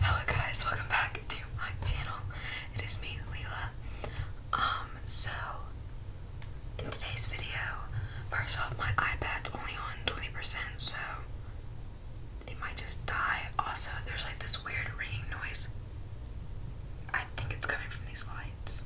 Hello guys, welcome back to my channel. It is me, Leila. Um, so in today's video, first off my iPad's only on 20%, so it might just die. Also, there's like this weird ringing noise. I think it's coming from these lights.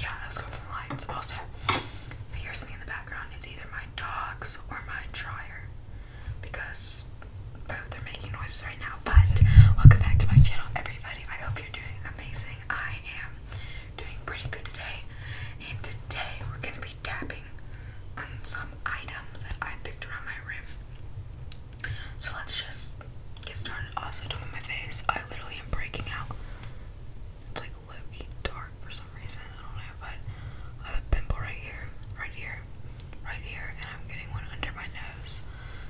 Yeah, that coming from the lights. Also, if you in the it's either my dogs or my dryer because both are making noises right now. But welcome back to my channel, everybody. I hope you're doing amazing. I am doing pretty good today, and today we're going to be tapping on some items that I picked around my room. So let's just get started. Also, doing my face, I literally am breaking out low dark for some reason. I don't know, but I have a pimple right here, right here, right here, and I'm getting one under my nose.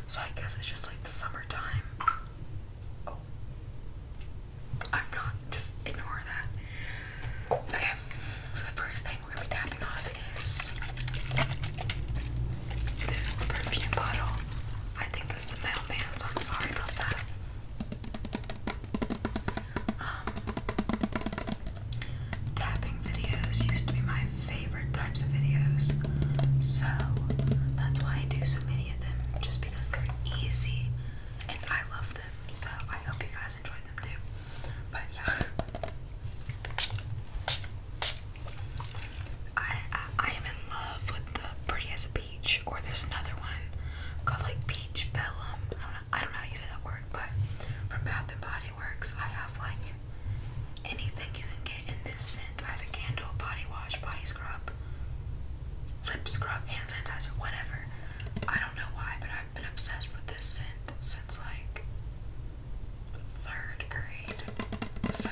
So I guess it's just like the summertime. Oh. I'm not. Just ignore that. Okay. So the first thing we're gonna be tapping on is this perfume bottle. I think this is the mailman's. I'm sorry about that. Um, tapping videos used to be my favorite types of videos, so that's why I do so many of them, just because they're easy and I love them. So I hope you guys enjoyed them too. But yeah, I I, am in love with the pretty as or there's another one called like Peach Bellum. I don't know, I don't know how you say that word, but from Bath and Body Works, I have like anything you can get in this scent. I have a candle, body wash, body scrub, lip scrub, hand sanitizer, whatever. I don't know why, but I've been obsessed with this scent since like third grade. So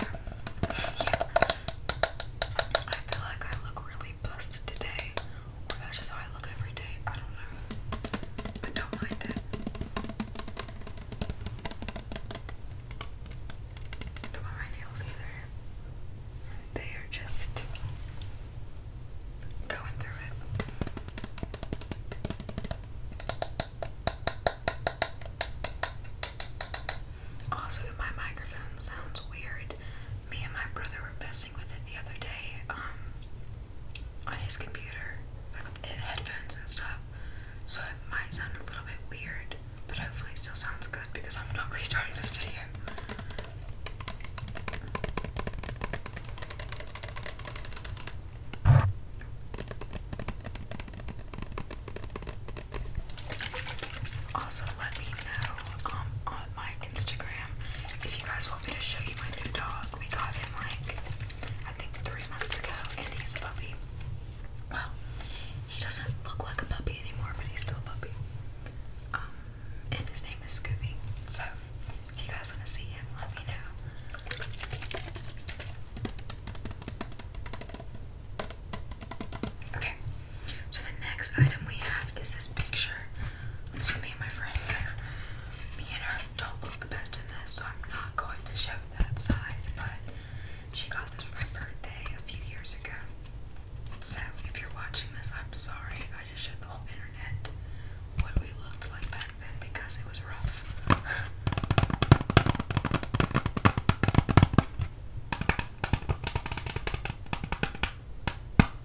I feel like I look really busted today that's just how I look every day. I don't know. I don't mind it. don't want my nails either. They are just going through it. Also, my microphone sounds weird. Me and my brother were best the other day um, on his computer, like uh, headphones and stuff. So it might sound a little bit weird, but hopefully it still sounds good because I'm not restarting this video. Also, let me know um, my Instagram. If you guys want me to show you my new dog, we got him like I think three months ago, and he's a puppy. Well, he doesn't look like a puppy anymore, but he's still a puppy. Um, and his name is Scooby. So, if you guys want to see him, let me know. Okay, so the next item we have is this picture. So me and my friend Me and her don't look the best in this, so I'm not going to show that side, but she got this for my birthday a few years ago. So if you're watching this, I'm sorry. I just showed the whole internet what we looked like back then because it was rough.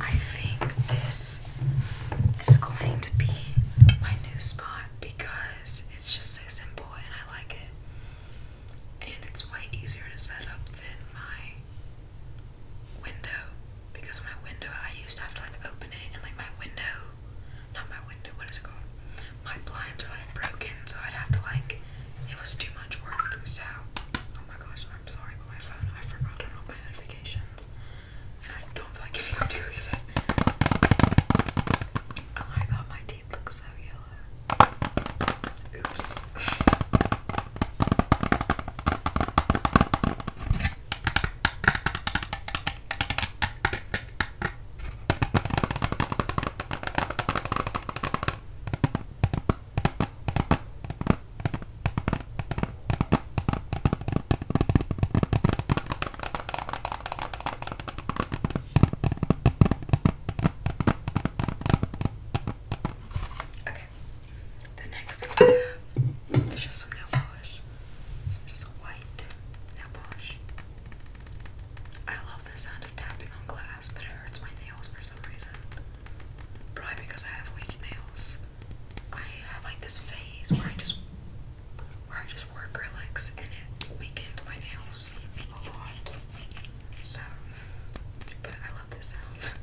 I think this is going to be my new spot because it's just so simple and I like it. And it's way easier to set up than my window because my window I used to have to like open it and like my window not my window, what is it called? my blinds were like broken, so I'd have to like it was too much work. So oh my gosh, I'm sorry, but my phone I forgot to turn on my notifications. I don't feel like getting up to look at it. Oh my teeth look so yellow. Oops. Okay. The next thing is just some nail polish. Some just white nail polish. I love the sound of tapping on glass, but it hurts my for some reason. Probably because I have weak nails. I have like this phase where I just where I just wore acrylics and it weakened my nails a lot. So but I love this sound.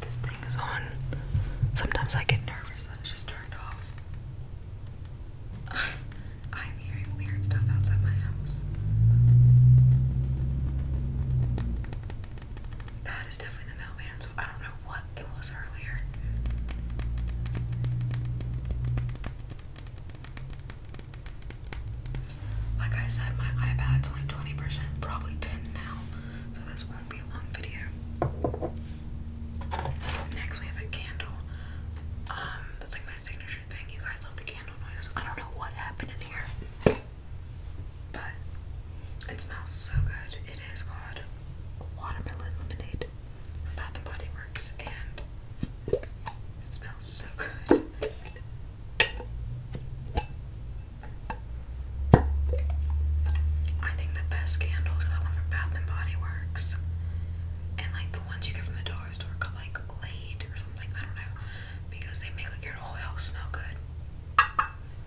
This thing is on. Sometimes I get nervous that it's just turned off. I'm hearing weird stuff outside my house. That is definitely the mailman, so I don't know what it was earlier. Like I said, my iPad's only 20 probably 10 now, so this won't be a long video. Next, we have a candle. Um, that's like my signature thing. You guys love the candle noises. I don't know what happened in here but it smells so good. It is called watermelon lemonade from Bath and Body Works, and it smells so good. I think the best candles are the one from Bath and Body Works, and like the ones you get from the dollar store like Late or something. I don't know, because they make like your whole house smell good.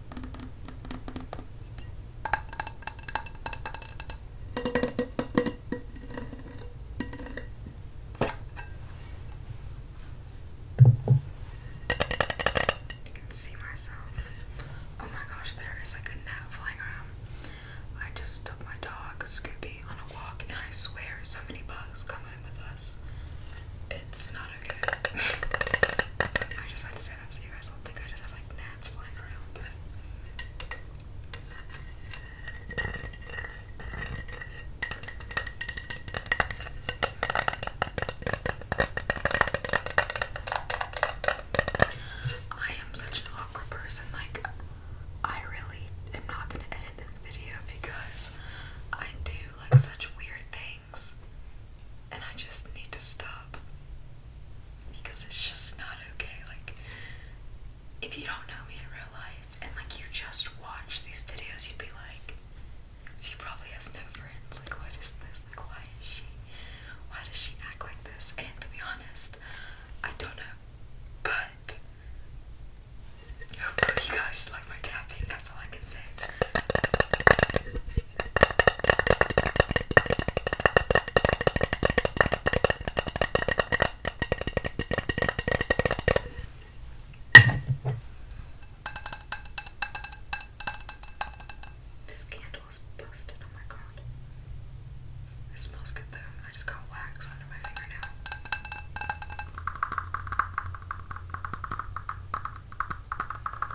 You can see myself. Oh my gosh, there is like a net flying around. I just took my dog Scooby on a walk, and I swear so many bugs come in with us. It's not okay. I just had to said don't think I just have like gnats flying around, I am such an awkward person, like I really am not gonna edit this video because I do like such weird things and I just need to stop because it's just not okay. Like, if you don't know me in real life and like you just watch these videos, you'd be like, she probably has no friends. Like, what is this? Like, why is she? Why does she act like this? And to be honest, I don't know. But you guys like my tapping. That's all I can say. This candle is busted. Oh my god. It smells good though. I just got wax under my finger now.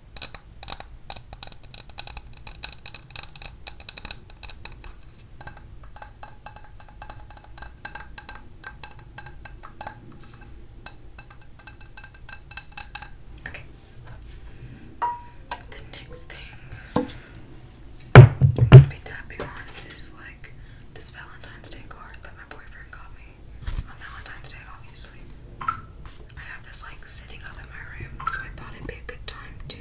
Okay. The next thing I'm gonna be tapping on is like this Valentine's Day card that my boyfriend got me on Valentine's Day, obviously. I have this like sitting up in my room, so I thought it'd be a good time to.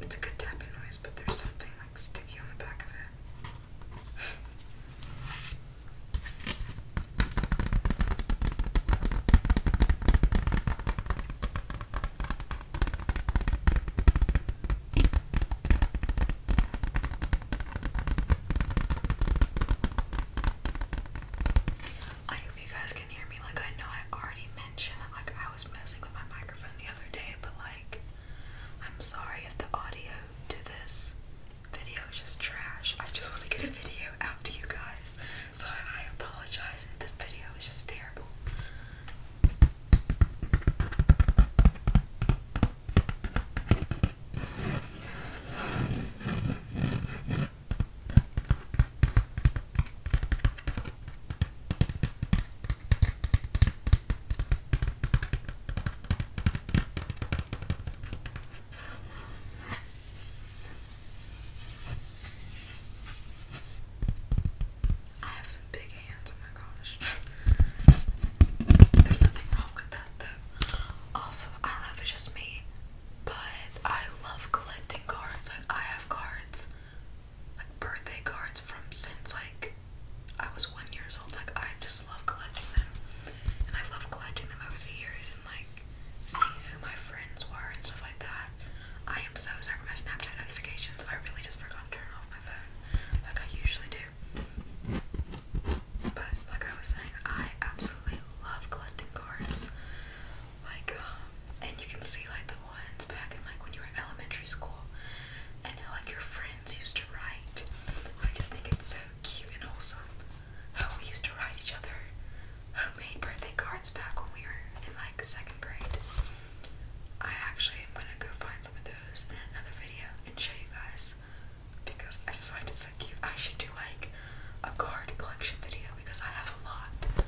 It's a good tapping noise, but there's something like sticky on the back of it. I you guys can hear me. Like, I know I already mentioned like, I was messing with my microphone the other day, but, like, I'm sorry if the audio to this video is just trash. I just want to get a video out to you guys. So, I apologize if this video is just terrible. I have some big hands, oh my gosh. There's nothing wrong with that though. Also, I don't know if it's just me, but I love collecting cards. Like I have cards, like birthday cards from since like I was one years old. Like I just love collecting them, and I love collecting them over the years and like seeing who my friends were and stuff like that. I am so sorry for my Snapchat notifications. I really just forgot to turn off my phone, like I usually do. But like I was saying, I absolutely love collecting cards like um and you can see like the ones back in like when you were elementary school and like your friends used to write. I just think it's so cute and wholesome. How we used to write each other made birthday cards back when we were in like second grade. I actually am gonna go find some of those in another video and show you guys because I just find it so cute. I should do like a card collection video because I have a lot.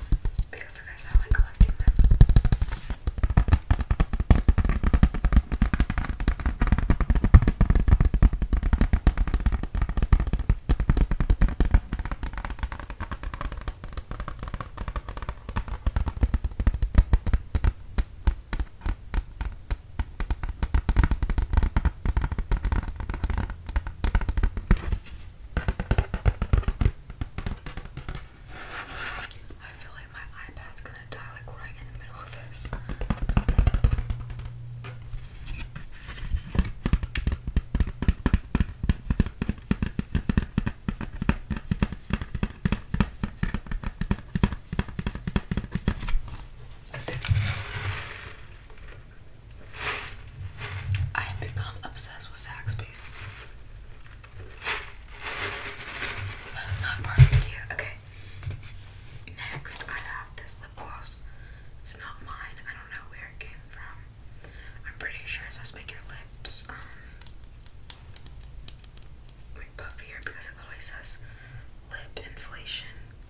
Because like I like collecting them. I feel like my iPad's gonna die like right in the middle of this. I have become obsessed with Zaxby's. That is not part of the video. Okay. Next, I have this lip gloss. It's not mine. I don't know where it came from. I'm pretty sure it's supposed to make your lips like um, puffier because it literally says lip inflation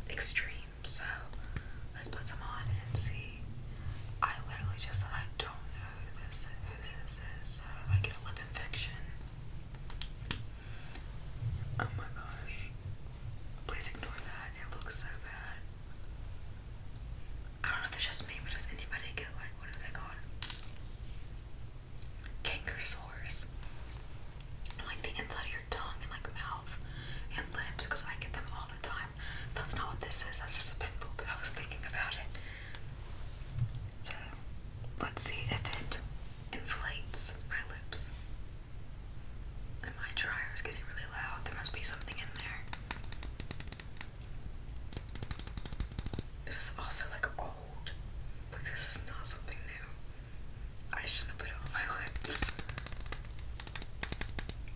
extreme so let's put some on and see. I literally just said I don't know who this who this is, so I get a lip infection. Oh my gosh. Please ignore that. It looks so bad. I don't know if it's just me, but does anybody get like what are they called? Canker Like the inside of your tongue and like mouth and lips, because I get them all the time. That's not what this is. That's just a pimple, but I was thinking about it. So, let's see if it inflates my lips. And my is getting really loud. There must be something in there. This is also like old. Like, this is not something new. I shouldn't have put it on my lips.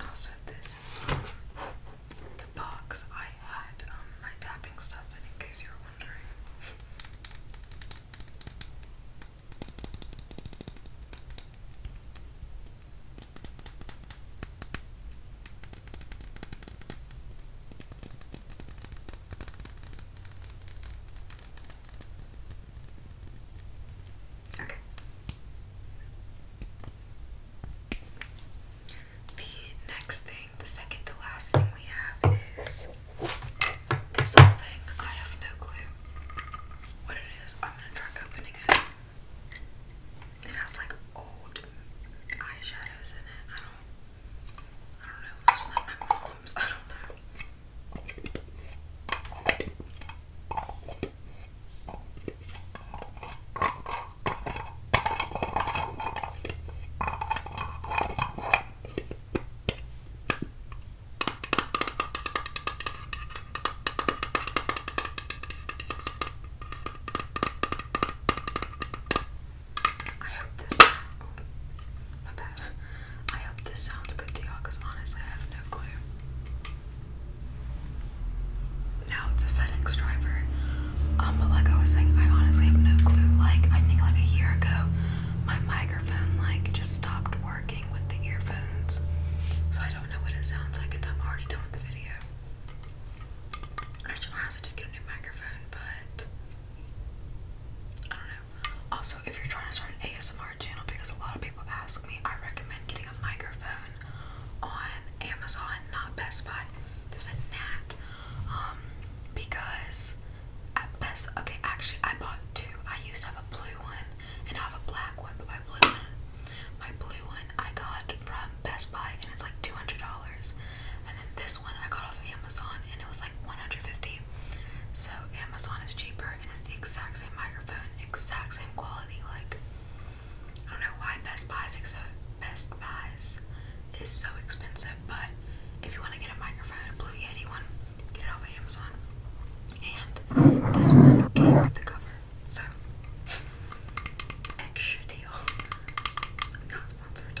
Also, this is the box I had um, my tapping stuff in, in case you were wondering. The next thing, the second to last thing we have is this thing. I have no clue what it is. I'm gonna try opening it. It has like old eyeshadows in it. I don't I don't know, it's like my mom's, I don't know. I hope this my bad. I hope this sounds good to y'all because honestly I have no clue. Now it's a FedEx driver. Um, but like I was saying, I honestly have no clue. Like I think like a year ago, my microphone like just stopped working with the earphones, so I don't know what it sounds like until I'm already doing the video. I should honestly just get a new microphone, but I don't know. Also, if you're trying to start an ASMR channel, because a lot of people ask me, I recommend getting a microphone on Amazon, not Best Buy. There's a Nat, Um, because at Best, okay, actually, I bought two. I used to have a blue one and I have a black one, but my blue one, my blue one, I got from Best Buy, and it's like two hundred dollars. And then this one I got off Amazon, and it was like one hundred fifty. So Amazon is cheaper, and it's the exact same microphone, exact same quality, like. I don't know why Best Buy is except Best Buys is so expensive, but if you want to get a microphone, a Blue Yeti one, get it off Amazon. And this one came with the cover, so extra deal. Not sponsored.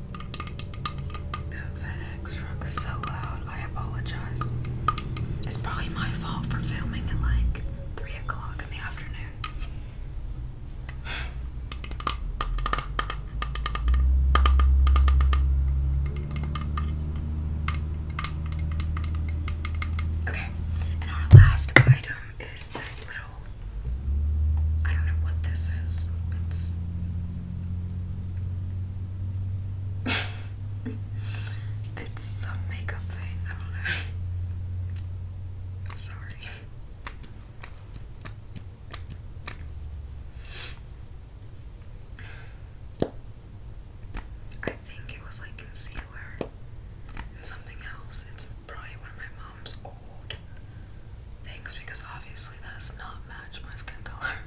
That FedEx truck is so loud. I apologize. It's probably my fault for filming at like 3 o'clock in the afternoon. Okay, and our last item is this little. I don't know what this is. It's it's some makeup thing, I don't know. Sorry. I think it was like concealer and something else. It's probably one of my mom's old things because obviously that does not match my skin color.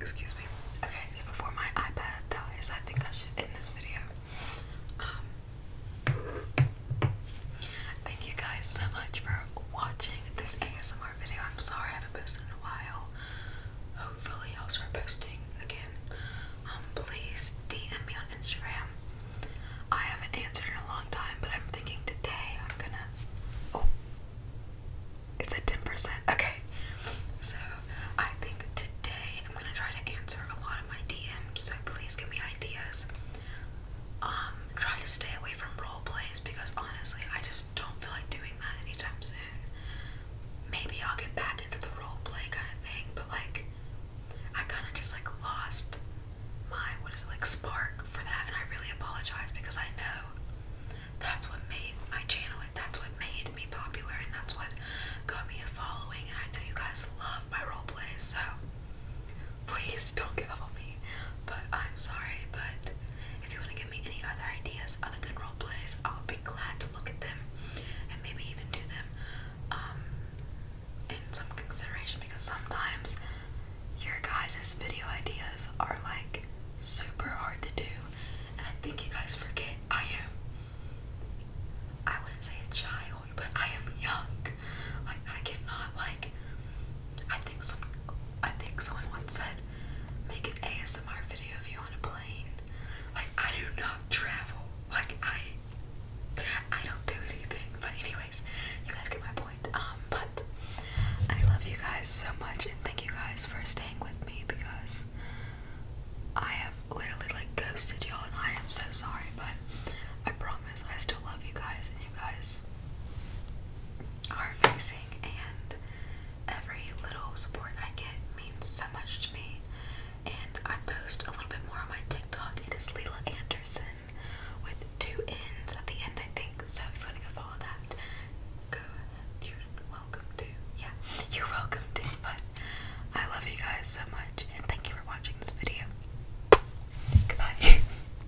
Excuse me. Okay, before my iPad dies, I think I should end this video. Um, Thank you guys so much for watching this ASMR video. I'm sorry I haven't posted in a while. Hopefully I'll start posting again. Um, please DM me on Instagram. I haven't answered in a long time, but I'm thinking today I'm gonna. Oh, it's a 10%. Okay, so I think today I'm gonna try to answer a lot of my DMs. So please give me ideas um, try to stay away from role plays because honestly, I just don't feel like doing that anytime soon. Maybe I'll get back into the role play kind of thing, but like, I kind of just like lost my what is it like spark for that, and I really apologize because I know that's what made my channel, and that's what made me popular, and that's what got me a following, and I know you guys love my role plays, so Please don't give up on me. But I'm sorry, but if you want to give me any other ideas, other than role plays, I'll be glad to look at them and maybe even do them um, in some consideration because sometimes your guys' video ideas are like super hard to do and I think you guys forget I am I wouldn't say a child, but I am young. Like I cannot like I think some I think someone once said make an ASMR video of you on a plane. Like I do not travel. Like I I don't do anything. But anyways, you guys get my point. Um but I love you guys so much and thank you guys for staying with me because I have literally like ghosted y'all and I am so sorry but I promise I still love you guys, and you guys are amazing. And every little support I get means so much to me. And I post a little bit more on my TikTok. It is Leela Anderson with two ends at the end, I think. So if you want to go follow that, go. You're welcome to. Yeah, you're welcome to. But I love you guys so much, and thank you for watching this video. Goodbye.